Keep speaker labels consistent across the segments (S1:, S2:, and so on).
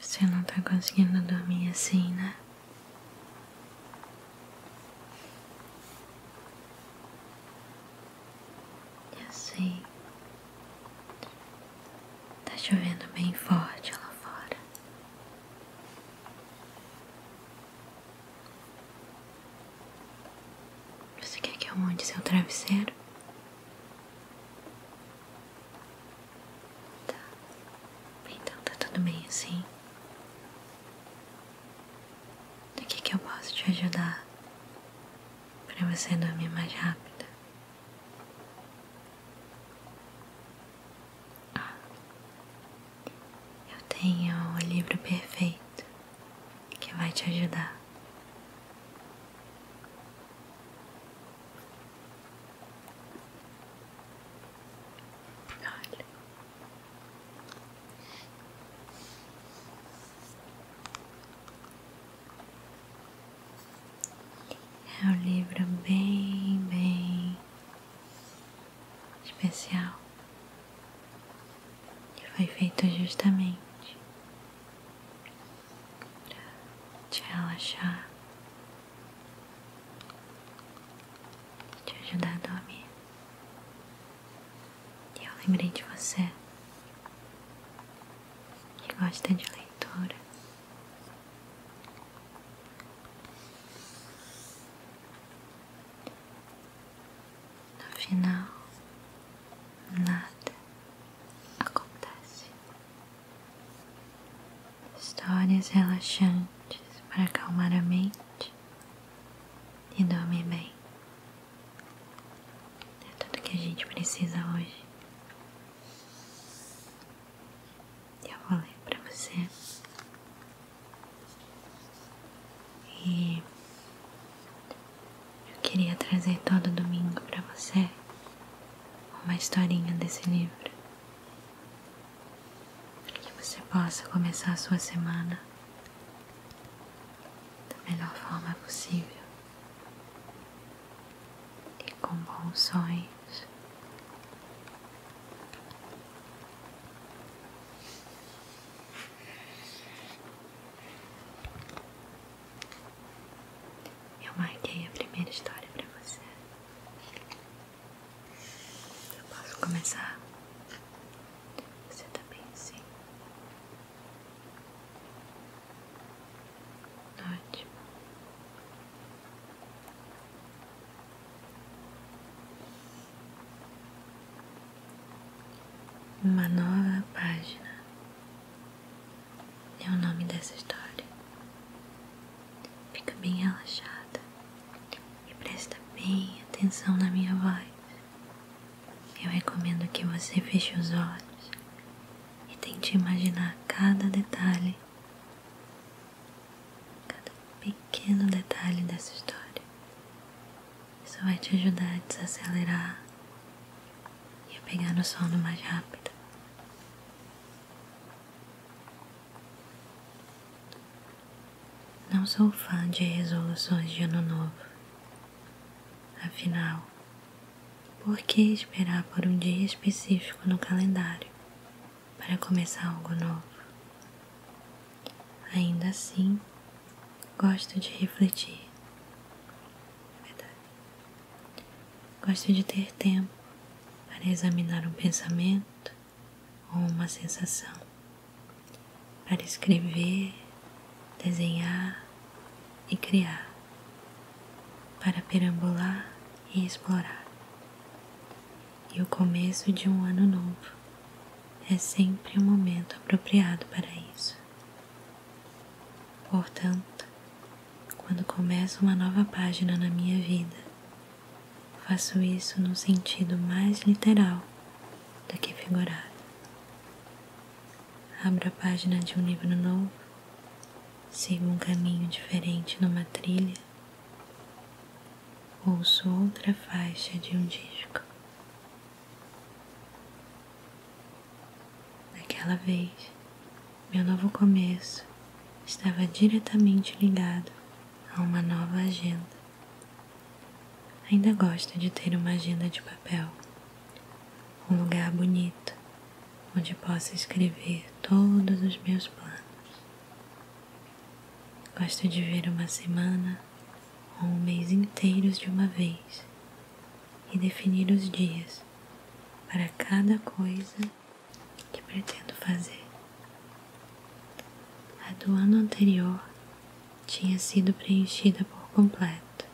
S1: Você não tá conseguindo dormir assim, né? Eu sei. Tá chovendo bem forte lá fora. Você quer que eu monte seu travesseiro? Tá. Então tá tudo bem assim? O que que eu posso te ajudar? Pra você dormir mais rápido? Ah, eu tenho o livro perfeito que vai te ajudar. Olha. É um livro bem, bem especial que foi feito justamente te relaxar, te ajudar a dormir. E eu lembrei de você que gosta de leitura. No final nada acontece. Histórias relaxantes para acalmar a mente e dormir bem. É tudo que a gente precisa hoje. Eu vou ler para você. E eu queria trazer todo domingo para você uma historinha desse livro, para que você possa começar a sua semana da melhor forma possível e com bons sonhos. Eu marquei a primeira história pra você. Eu posso começar? Você tá bem assim? Ótimo. Uma nova página é o nome dessa história. Fica bem relaxada e presta bem atenção na minha voz. Eu recomendo que você feche os olhos e tente imaginar cada detalhe, cada pequeno detalhe dessa história. Isso vai te ajudar a desacelerar e a pegar no sono mais rápido. Não sou fã de resoluções de ano novo. Afinal, por que esperar por um dia específico no calendário para começar algo novo? Ainda assim, Gosto de refletir. É verdade. Gosto de ter tempo para examinar um pensamento ou uma sensação, para escrever, desenhar e criar, para perambular e explorar. E o começo de um ano novo é sempre o momento apropriado para isso. Portanto, quando começo uma nova página na minha vida, faço isso no sentido mais literal do que figurado. Abro a página de um livro novo, sigo um caminho diferente numa trilha, ouço outra faixa de um disco. Naquela vez, meu novo começo estava diretamente ligado a uma nova agenda. Ainda gosto de ter uma agenda de papel, um lugar bonito onde possa escrever todos os meus planos. Gosto de ver uma semana ou um mês inteiros de uma vez e definir os dias para cada coisa que pretendo fazer. A do ano anterior tinha sido preenchida por completo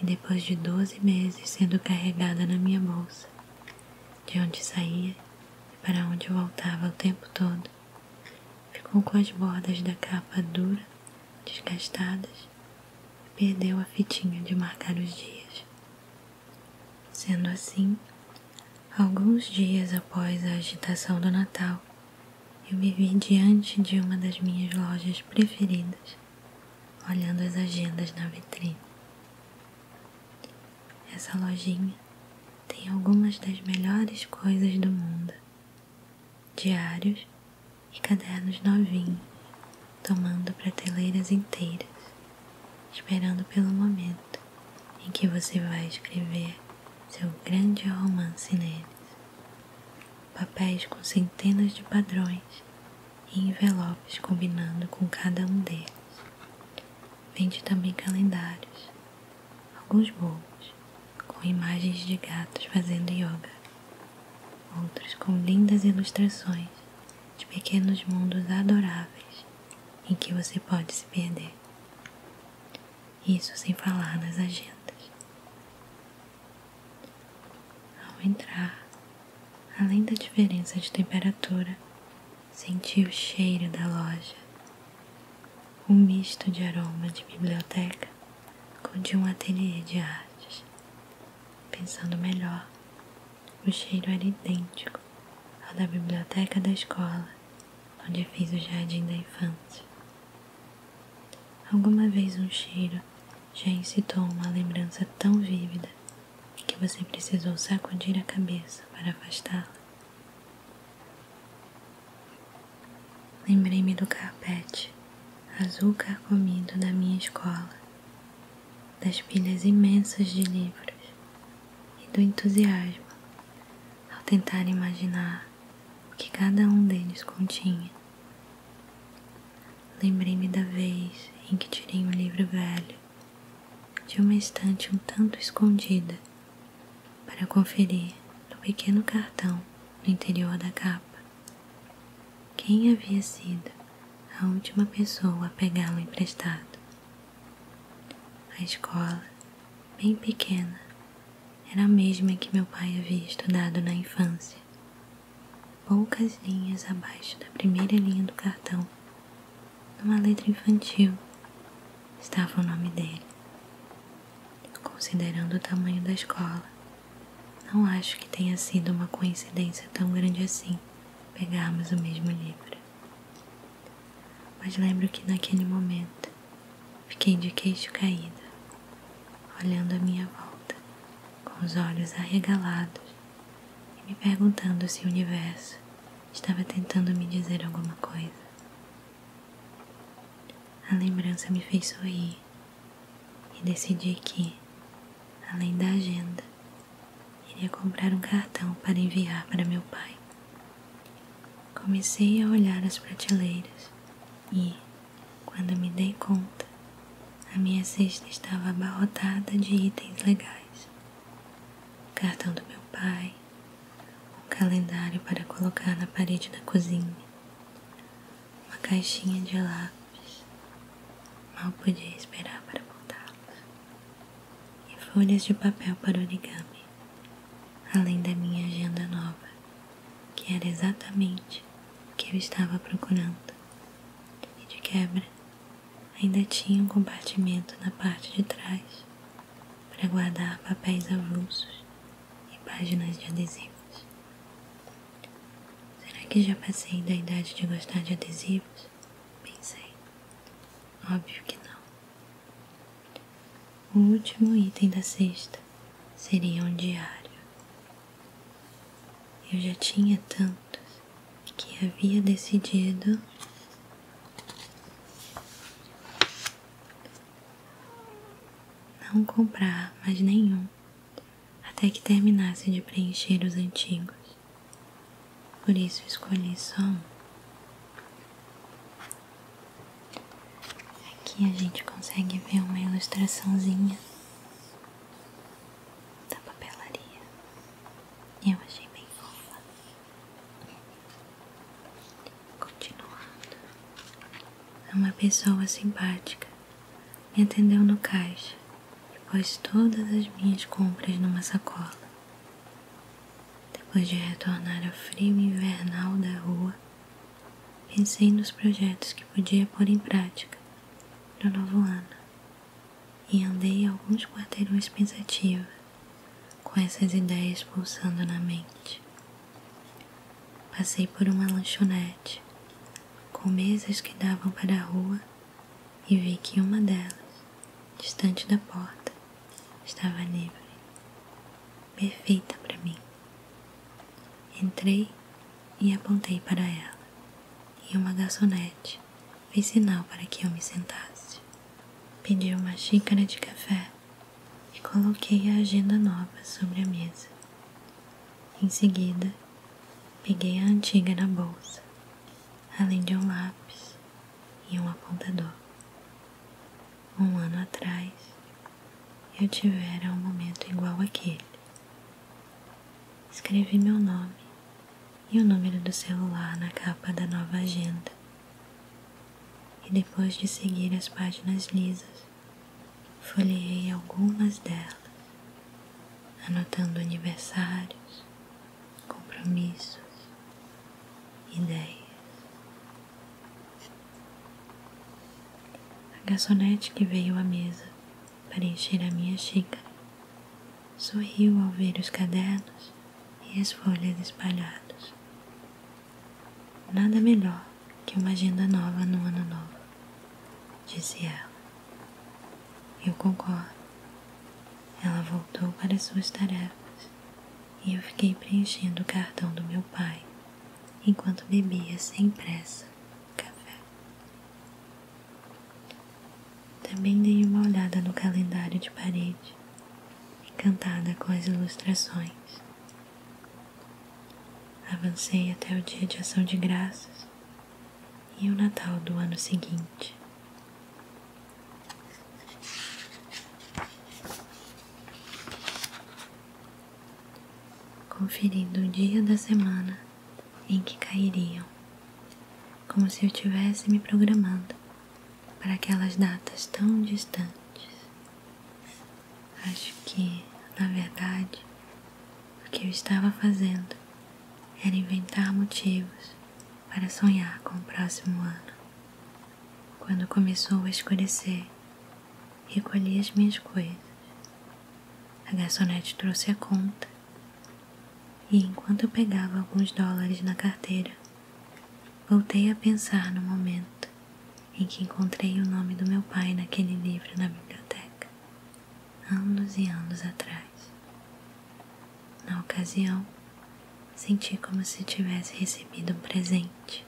S1: e depois de 12 meses sendo carregada na minha bolsa, de onde saía e para onde voltava o tempo todo, Ficou com as bordas da capa dura, desgastadas, e perdeu a fitinha de marcar os dias. Sendo assim, alguns dias após a agitação do Natal, eu me vi diante de uma das minhas lojas preferidas, olhando as agendas na vitrine. Essa lojinha tem algumas das melhores coisas do mundo: diários e cadernos novinhos, tomando prateleiras inteiras, esperando pelo momento em que você vai escrever seu grande romance neles. Papéis com centenas de padrões e envelopes combinando com cada um deles. Vende também calendários Alguns bolos com imagens de gatos fazendo yoga, outros com lindas ilustrações de pequenos mundos adoráveis em que você pode se perder. Isso sem falar nas agendas. Ao entrar, além da diferença de temperatura, senti o cheiro da loja, um misto de aroma de biblioteca com de um ateliê de artes. Pensando melhor, o cheiro era idêntico ao da biblioteca da escola, onde fiz o jardim da infância. Alguma vez um cheiro já incitou uma lembrança tão vívida que você precisou sacudir a cabeça para afastá-la. Lembrei-me do carpete azul carcomido da minha escola, das pilhas imensas de livros e do entusiasmo ao tentar imaginar o que cada um deles continha. Lembrei-me da vez em que tirei um livro velho de uma estante um tanto escondida para conferir no pequeno cartão no interior da capa quem havia sido a última pessoa a pegá-lo emprestado. A escola, bem pequena, era a mesma que meu pai havia estudado na infância poucas linhas abaixo da primeira linha do cartão numa letra infantil estava o nome dele. Considerando o tamanho da escola, não acho que tenha sido uma coincidência tão grande assim pegarmos o mesmo livro. Mas lembro que naquele momento fiquei de queixo caído, olhando a minha volta, com os olhos arregalados e me perguntando se o universo estava tentando me dizer alguma coisa. A lembrança me fez sorrir e decidi que, além da agenda, iria comprar um cartão para enviar para meu pai. Comecei a olhar as prateleiras e, quando me dei conta, a minha cesta estava abarrotada de itens legais cartão do meu pai, um calendário para colocar na parede da cozinha, uma caixinha de lápis. Mal podia esperar para montá-los. E folhas de papel para origami, além da minha agenda nova, que era exatamente o que eu estava procurando. de quebra, ainda tinha um compartimento na parte de trás para guardar papéis avulsos e páginas de adesivos. Será que já passei da idade de gostar de adesivos? Pensei. Óbvio que não. O último item da cesta seria um diário. Eu já tinha tantos que havia decidido não comprar mais nenhum até que terminasse de preencher os antigos. Por isso escolhi só um. Aqui a gente consegue ver uma ilustraçãozinha da papelaria. Eu achei bem nova. Continuando. É uma pessoa simpática me atendeu no caixa e pôs todas as minhas compras numa sacola. Depois de retornar ao frio invernal da rua, pensei nos projetos que podia pôr em prática no novo ano e andei alguns quarteirões pensativa, com essas ideias pulsando na mente. Passei por uma lanchonete, com mesas que davam para a rua, e vi que uma delas, distante da porta, estava livre, perfeita para mim. Entrei e apontei para ela, e uma garçonete frente, sinal para que eu me sentasse. Pedi uma xícara de café e coloquei a agenda nova sobre a mesa. Em seguida, peguei a antiga na bolsa, além de um lápis e um apontador. Um ano atrás, eu tivera um momento igual aquele. Escrevi meu nome e o número do celular na capa da nova agenda. E depois de seguir as páginas lisas, folheei algumas delas, anotando aniversários, compromissos, ideias. A garçonete que veio à mesa para encher a minha xícara. Sorriu ao ver os cadernos e as folhas espalhados. Nada melhor que uma agenda nova no ano novo, disse ela. Eu concordo. Ela voltou para suas tarefas e eu fiquei preenchendo o cartão do meu pai enquanto bebia sem pressa café. Também dei uma olhada no calendário de parede, encantada com as ilustrações. Avancei até o dia de ação de graças e o Natal do ano seguinte. Conferindo o dia da semana em que cairiam, como se eu estivesse me programando para aquelas datas tão distantes. Acho que, na verdade, o que eu estava fazendo era inventar motivos para sonhar com o próximo ano. Quando começou a escurecer, recolhi as minhas coisas a garçonete trouxe a conta e, enquanto eu pegava alguns dólares na carteira, voltei a pensar no momento em que encontrei o nome do meu pai naquele livro na biblioteca, anos e anos atrás. Na ocasião, senti como se tivesse recebido um presente.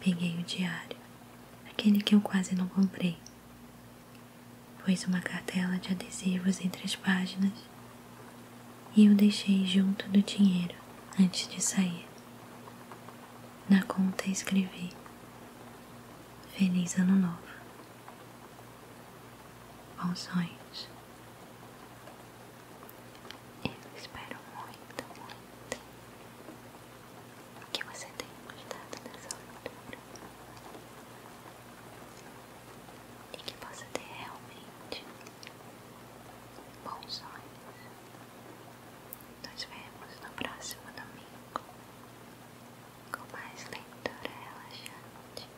S1: Peguei o diário, aquele que eu quase não comprei, Pus uma cartela de adesivos entre as páginas e eu deixei junto do dinheiro antes de sair. Na conta escrevi: Feliz Ano Novo. Bons sonhos. Eu espero muito. O que você tem gostado dessa leitura? E que possa ter realmente bons sonhos. Nos vemos no próximo domingo com mais leitura relaxante.